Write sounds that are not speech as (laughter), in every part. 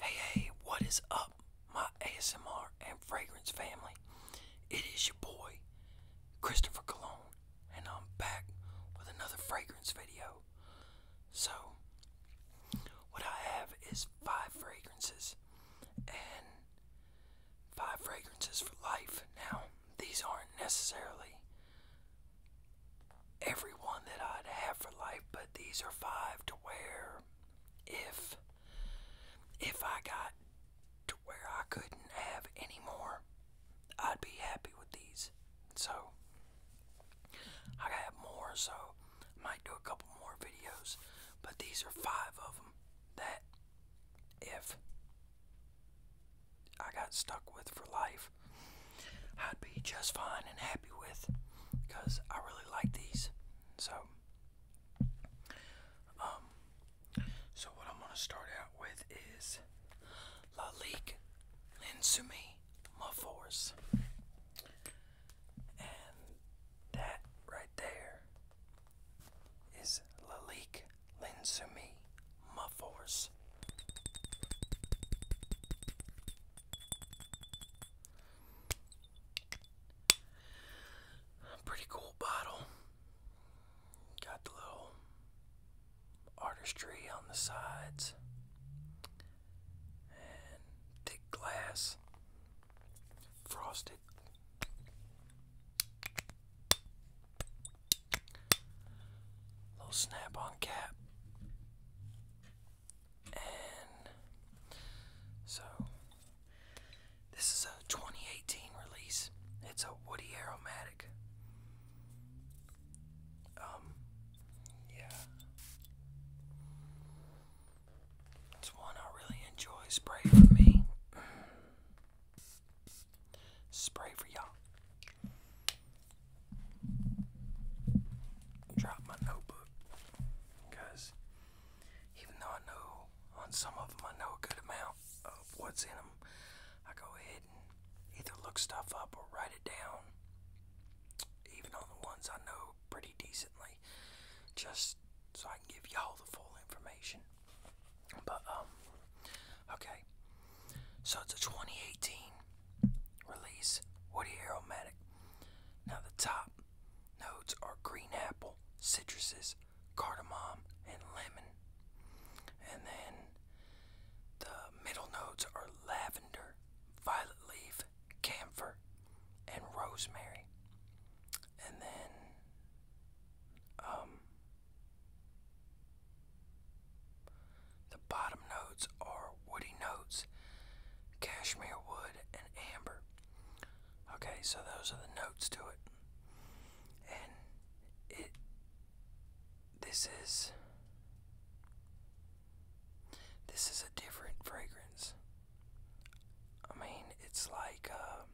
Hey, hey, what is up, my ASMR and fragrance family? It is your boy, Christopher Cologne, and I'm back with another fragrance video. So, what I have is five fragrances, and five fragrances for life. Now, these aren't necessarily Every one that I'd have for life, but these are five to wear. if if I got to where I couldn't have any more, I'd be happy with these. So I have more, so I might do a couple more videos, but these are five of them that if I got stuck with for life, I'd be just fine and happy with because I really like these. So, um, so what I'm gonna start out with is La Linsumi Force, and that right there is Lalique Linsumi Force. Pretty cool bottle. Got the little artistry on the sides and thick glass, frosted. Little snap on cap so this is a 2018 release. It's a Woody Aromatic. Um, yeah. It's one I really enjoy. Spray for me. Spray for y'all drop my notebook because even though I know on some of them I know a good amount of what's in them, I go ahead and either look stuff up or write it down, even on the ones I know pretty decently, just so I can give y'all the full information. But, um, okay, so it's a 2018 Release Woody Aromatic. Now, the top notes are green apple, citruses, cardamom, and lemon. And then the middle notes are lavender, violet leaf, camphor, and rosemary. And then, um, the bottom notes are woody notes, cashmere wood, and amber. Okay, so those are the notes to it. And it this is this is a different fragrance. I mean, it's like um,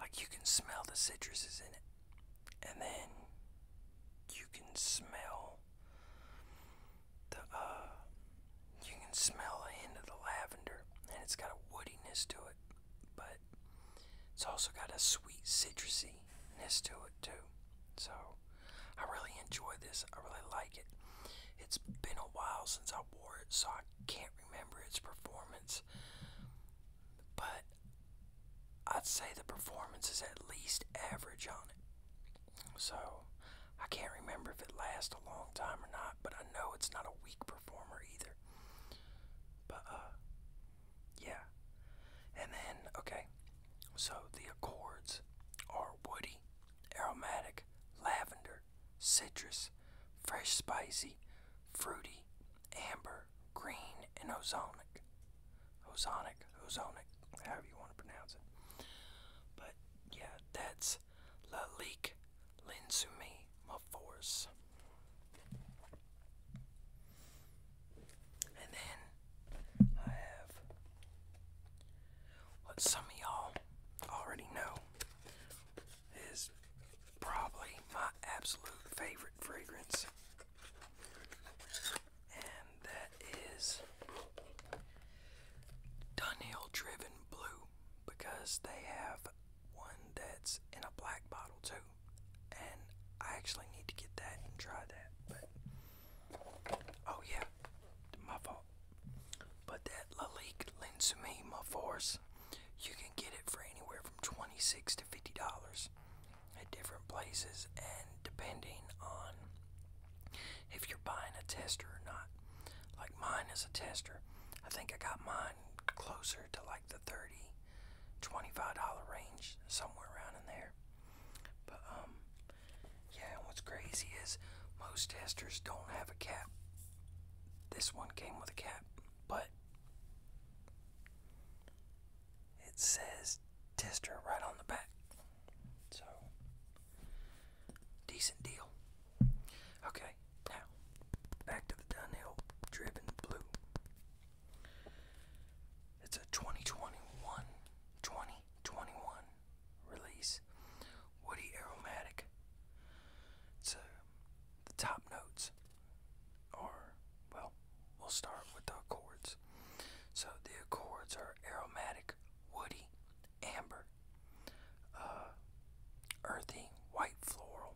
like you can smell the citruses in it, and then you can smell the uh, you can smell the hint of the lavender, and it's got a woodiness to it, but it's also got a sweet citrusy ness to it too. So I really enjoy this. I really like it. It's been a while since I wore it, so I can't remember its performance. But I'd say the performance is at least average on it. So I can't remember if it lasts a long time or not, but I know it's not a weak performer either. But uh yeah. And then okay. So the accords are woody, aromatic, lavender, citrus, fresh spicy, fruity, amber, green, and ozonic. Ozonic, Ozonic, however you want to pronounce it. But yeah, that's Lalik Linsumi Maforce. And then I have what some of y'all already know is probably my absolute favorite fragrance and that is Dunhill Driven Blue because they have one that's in a black bottle too. And I actually need to get that and try that. But oh yeah, my fault. But that Lalique Linsumi Force, you can get it for anywhere from twenty-six to fifty dollars at different places and depending on if you're buying a tester or not. Like mine is a tester. I think I got mine closer to like the 30 $25 range, somewhere around in there. But um yeah, what's crazy is most testers don't have a cap. This one came with a cap, but it says tester right on the back. So, decent deal. Okay, now, back to the Dunhill Driven Blue. It's a 2021, 2021 release. Woody aromatic. So, uh, the top notes are, well, we'll start with the chords. So the accords are aromatic, woody, amber, uh, earthy, white floral,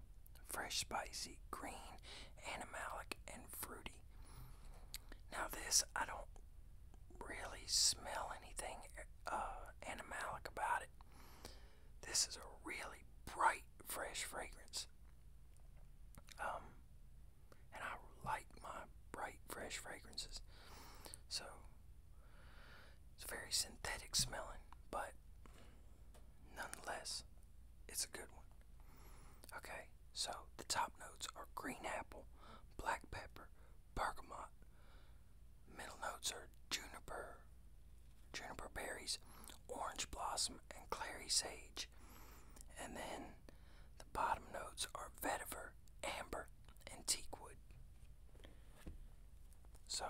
fresh, spicy, green, animalic, and fruity. Now, this, I don't really smell anything uh, animalic about it. This is a really bright, fresh fragrance. Um, and I like my bright, fresh fragrances. So it's very synthetic smelling, but nonetheless, it's a good one. Okay, so the top notes are green apple, black pepper, bergamot. Middle notes are juniper, juniper berries, orange blossom, and clary sage. And then the bottom notes are vetiver amber, and teak wood. So,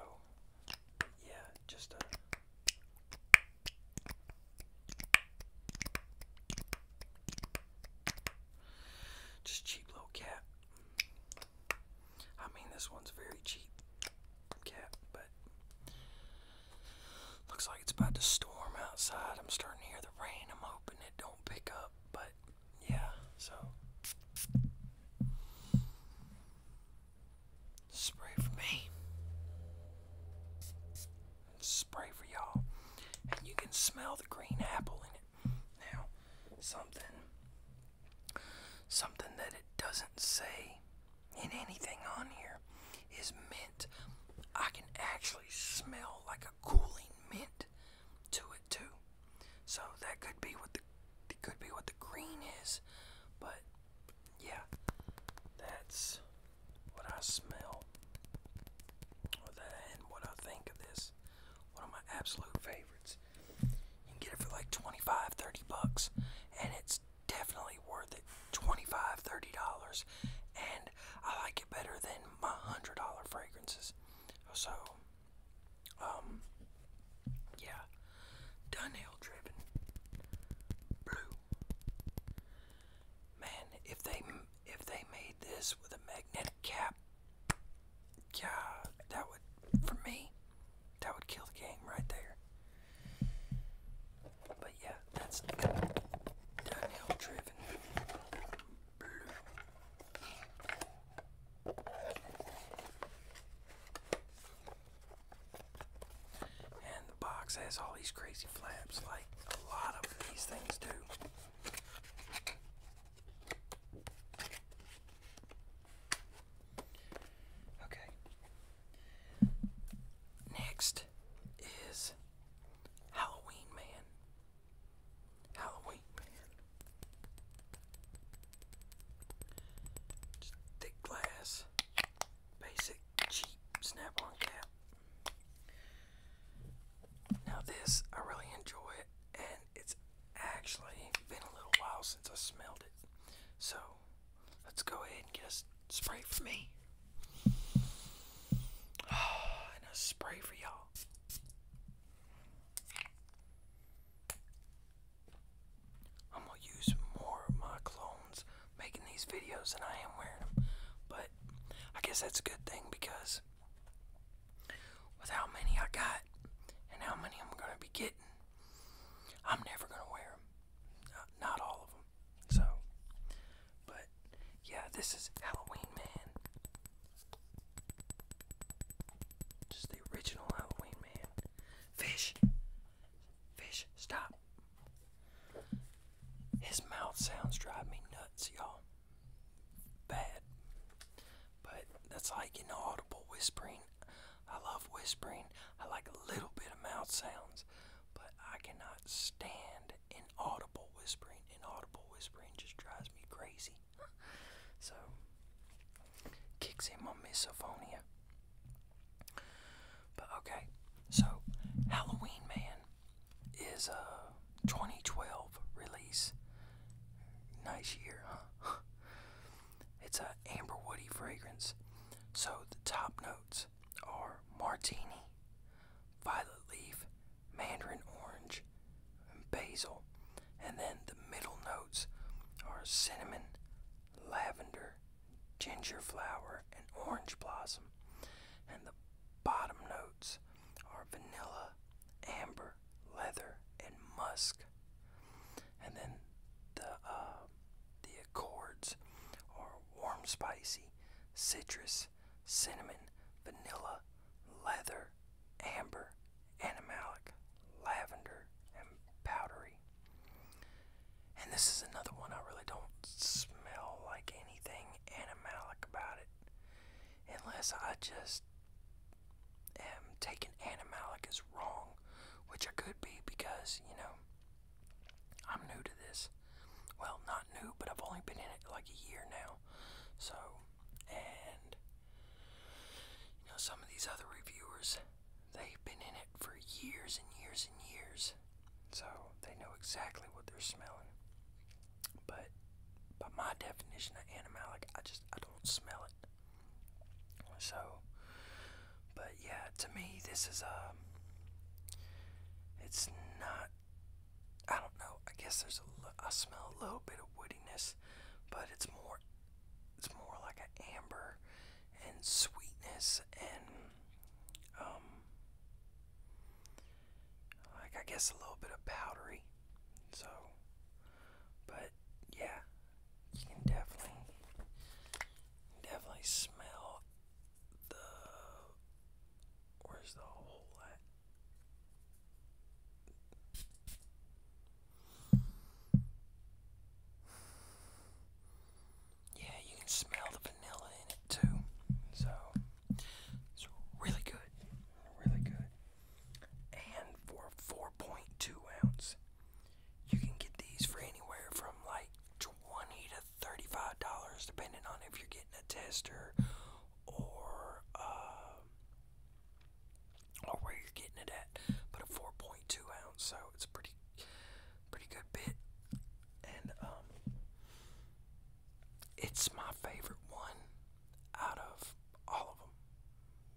yeah, just a. Just cheap little cap. I mean, this one's very cheap cap, but looks like it's about to storm outside. I'm starting to hear the rain. I'm hoping don't pick up, but yeah, so spray for me. Spray for y'all. And you can smell the green apple in it. Now, something something that it doesn't say in anything on here is I can actually smell like a cooling mint to it too. So that could be what the could be what the green is, but yeah, that's what I smell. And what I think of this. One of my absolute favorites. You can get it for like 25, 30 bucks, and it's definitely worth it. 25, 30 dollars, and I like it better than my hundred dollar fragrances. So, um, yeah, Dunhill driven blue. Man, if they if they made this with a magnetic cap, yeah, that would for me, that would kill the game right there. But yeah, that's Dunhill driven and the box has all these crazy flaps like a lot of these things do. Okay. Next is Halloween Man. Halloween man. Just thick glass. Basic cheap snap on cap. Now this I really enjoy it and it's actually been a little while since I smelled it. So let's go ahead and get a spray for me. (sighs) and a spray for y'all. I'm gonna use more of my clones making these videos than I am wearing them. But I guess that's a good thing because with how many I got and how many I'm gonna be getting, I'm never gonna wear them. Not, all of them. So but yeah, this is Halloween Man. Just the original Halloween Man. Fish! Fish, stop. His mouth sounds drive me nuts, y'all. Bad. But that's like inaudible whispering. I love whispering. I like a little bit of mouth sounds, but I cannot stand inaudible whispering, inaudible whispering just drives me crazy. so, kicks in my misophonia. But okay, so Halloween Man is a 2012 release. Nice year, huh? (laughs) it's a amber woody fragrance. So the top notes are martini, violet leaf, mandarin orange, and basil, and then the middle notes are cinnamon, lavender, ginger flower, and orange blossom, and the bottom notes are vanilla, amber, leather, and musk, and then the uh, the accords are warm, spicy, citrus, cinnamon, vanilla, leather, amber, animalic, lavender, and powdery. And this is another one I really don't smell like anything animalic about it. Unless I just am taking animalic as wrong, which I could be because, you know, I'm new to this. Well, not not new, but I've only been in it like a year now. So, and you know, some of these other reviewers, they've been in it for years and years and years, so they know exactly what they're smelling. But by my definition of animalic, I just I don't smell it. So, but yeah, to me, this is a. Um, it's not I don't know. I guess there's a I smell a little bit of woodiness, but it's more it's more like an amber and sweetness and um like I guess a little bit of powdery. So but yeah, you can definitely definitely smell the Where's the hole at? Yeah, you can smell the vanilla in it too. So it's really good. Really good. And for 4.2 ounce, you can get these for anywhere from like 20 to $35, depending on if you're getting a tester or um, or where you're getting it at. But a 4.2 ounce, so it's pretty pretty good bit, and um, it's my favorite one out of all of them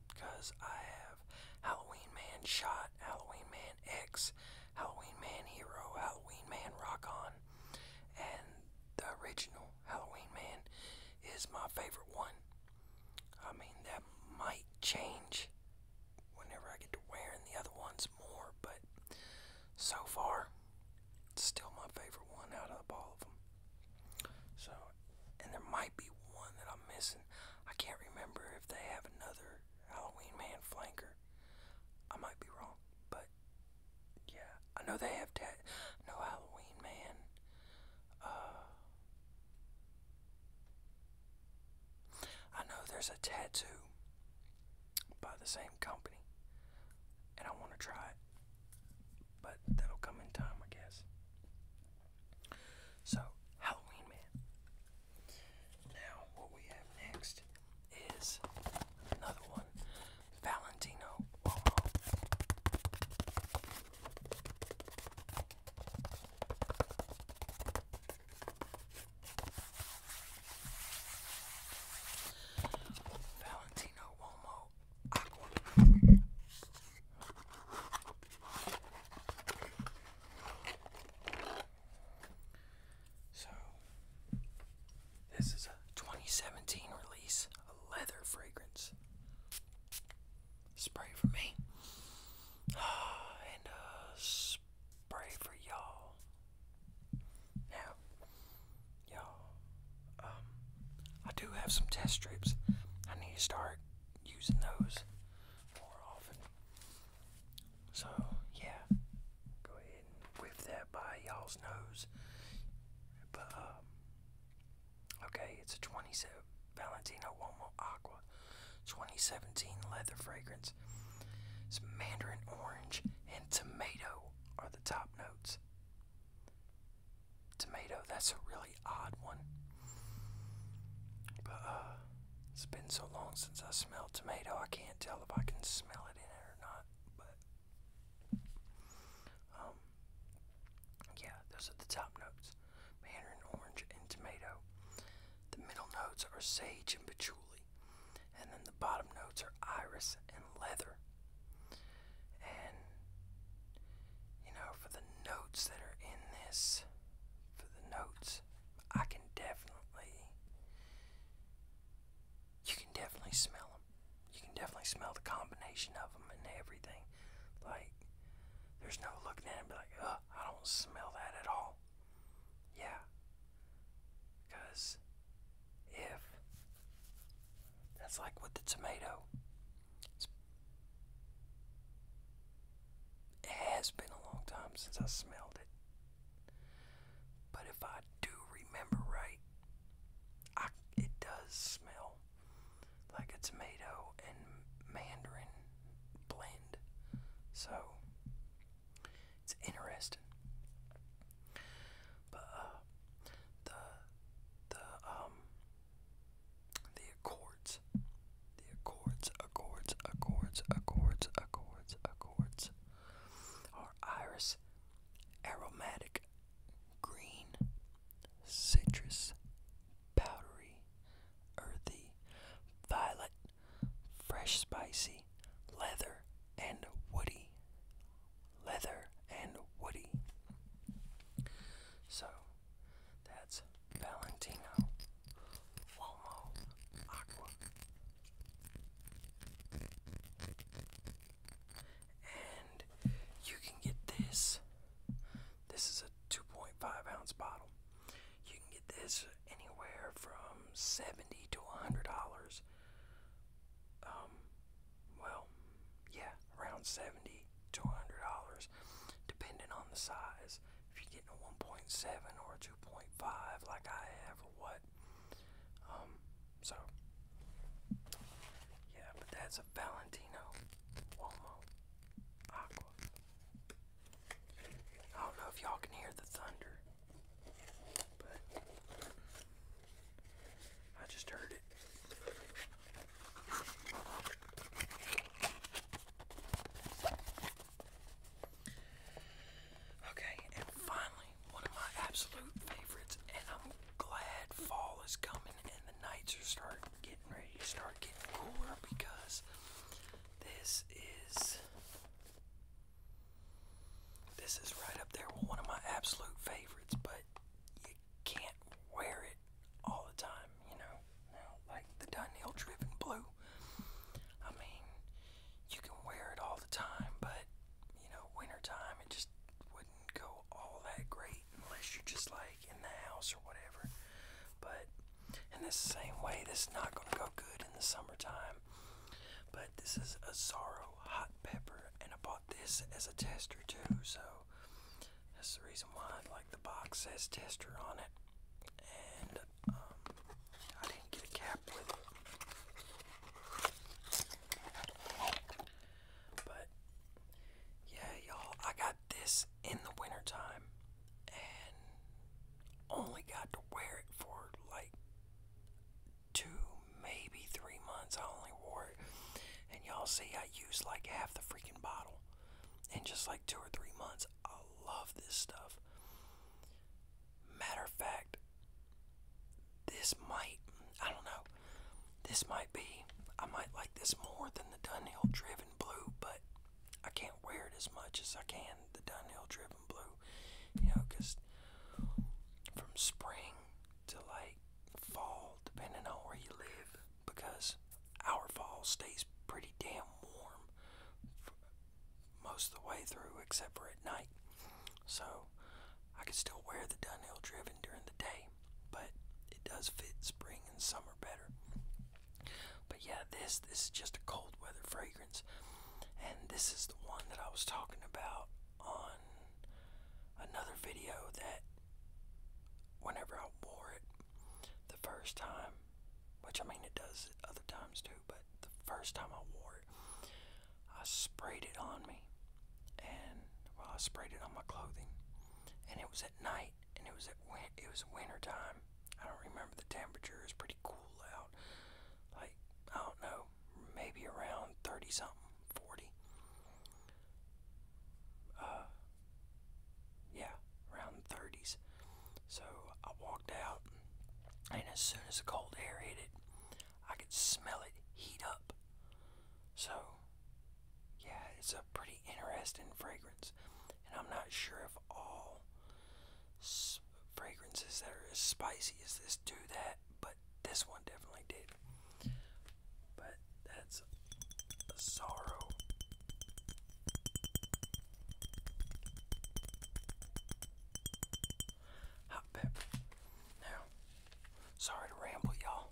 because I have Halloween Man Shot, Halloween Man X, Halloween Man Hero, Halloween Man Rock On, and the original Halloween Man is my favorite one. I mean, that might change whenever I get to wearing the other ones more, but so far, it's still my favorite one out of all of them. So, and there might be one that I'm missing. I can't remember if they have another Halloween Man flanker. I might be wrong, but yeah, I know they have tat. No Halloween man. Uh, I know there's a tattoo by the same company, and I want to try it, but that'll come in time, I guess. So Halloween man. Now what we have next is another one Valentino Cuomo. Valentino Cuomo So, this is a 2017 release leather fragrance. Spray for me. (sighs) And uh, spray for y'all. Now, y'all, um, I do have some test strips. I need to start using those more often. So, yeah, go ahead and whip that by y'all's nose. But, um, Okay, it's a 27 Valentino Uomo Aqua 2017 leather fragrance. It's mandarin orange and tomato are the top notes. Tomato, that's a really odd one. But uh, it's been so long since I smelled tomato I can't tell if I can smell it in it or not. But um, yeah, those are the top notes mandarin orange and tomato. The middle notes are sage and patchouli, and then the bottom notes are iris and leather. And you know, for the notes that are in this, for the notes, I can definitely you can definitely smell them. You can definitely smell the combination of them and everything. Like, there's no looking at it and be like, I don't smell that at all. Yeah. Because if that's like with the tomato, it has been a long time since I smelled it. But if I do remember right, it does smell like a tomato and mandarin blend. So it's interesting. But uh, the the um the accords, the accords, accords, accords, accords, accords are iris aromatic green, citrus, powdery, earthy, violet, fresh, spicy, leather, and woody. Leather and woody. So that's Valentino Uomo Aqua. And you can get this. This is a 2.5 ounce bottle. You can get this anywhere from 70 to $100. Um, well, yeah, around 70 to $100, depending on the size. If you're getting a 1.7 or a 2.5 like I have or what. Um, so, yeah, but that's a Valentino Uomo Aqua. I don't know if y'all can hear the thunder, but I just heard it. Okay, and finally, one of my absolute favorites, and I'm glad fall is coming and the nights are start getting ready to start getting cooler because this is this is right up there with one of my absolute favorites, but you can't wear it all the time, you know. Now, like the Dunhill Driven Blue, I mean, you can wear it all the time, but you know, wintertime, it just wouldn't go all that great unless you're just like in the house or whatever. But in the same way, this is not going to go good in the summertime. But this is a Zorro hot pepper, and I bought this as a tester too, so that's the reason why like the box says tester on it. And um, I didn't get a cap with it. But yeah, y'all, I got this in the wintertime and only got to wear it for like two, maybe three months. I only wore it. And y'all see, I used like half the freaking bottle in just like two or three months. I love this stuff. Matter of fact, this might, I don't know, this might be, I might like this more than the Dunhill Driven Blue, but I can't wear it as much as I can, the Dunhill Driven Blue. You know, because from spring to like fall, depending on where you live, because our fall stays pretty damn warm most of the way through, except for at night. So I can still wear the Dunhill Driven during the day, but it does fit spring and summer better. But yeah, this this is just a cold weather fragrance, and this is the one that I was talking about on another video that whenever I wore it the first time, which I mean it does other times too, but the first time I wore it, I sprayed it on me and well, I sprayed it on my clothing, and it was at night, and it was at win it was winter time. I don't remember the temperature. is pretty cool out, like I don't know, maybe around thirty something, forty. Uh, yeah, around the thirties. So I walked out, and as soon as the cold air hit it, I could smell it heat up. So yeah, it's a pretty interesting fragrance. And I'm not sure if all fragrances that are as spicy as this do that, but this one definitely did. But that's a sorrow. Hot pepper. Now, Sorry to ramble, y'all.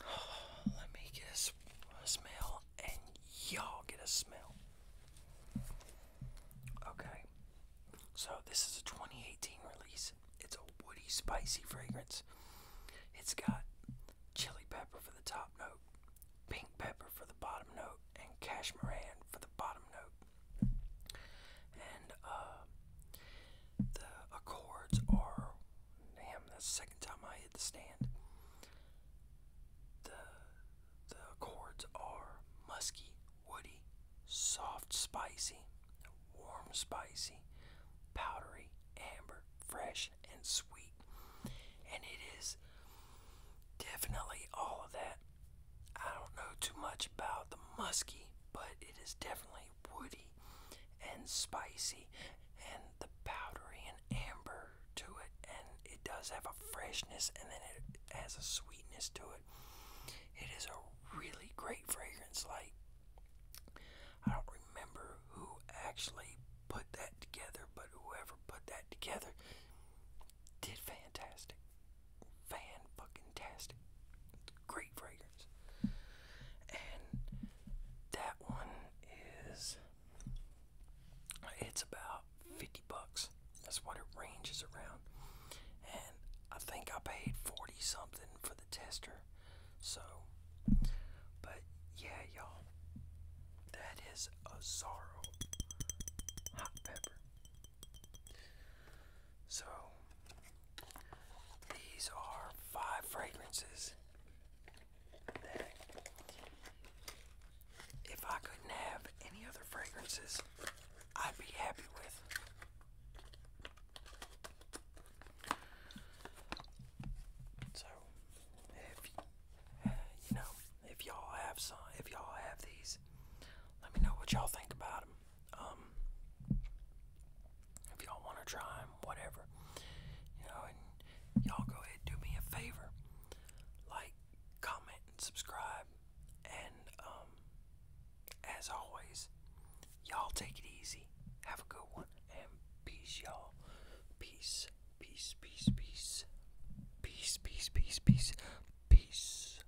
(sighs) Let me get a, smell, and y'all get a smell. Okay, so this is a 2018 release. It's a woody, spicy fragrance. It's got chili pepper for the top note, pink pepper for the bottom note, and cashmeran for the bottom note. And uh, the accords are, damn, that's the second time I hit the stand. The the accords are musky, woody, soft, spicy, warm, spicy, powdery, amber, fresh, and sweet. And it is definitely all of that I don't know too much about the musky, but it is definitely woody and spicy, and the powdery and amber to it, and it does have a freshness, and then it has a sweetness to it. It is a really great fragrance. Like I don't remember who actually put that together, but whoever put that together did fantastic fan Great fragrance. And that one is it's about 50 bucks. That's what it ranges around. And I think I paid 40 something for the tester. So, but yeah, y'all, that is a Zorro hot pepper. So, these are five fragrances if I couldn't have any other fragrances, I'd be happy with. So, if you know, if y'all have some, if y'all have these, let me know what y'all think about them. Um, if y'all want to try them, whatever, you know, and y'all go ahead do me a favor, like, comment, and subscribe, and um, as always, y'all take it easy, have a good one, and peace, y'all, peace, peace, peace, peace, peace, peace, peace, peace, peace.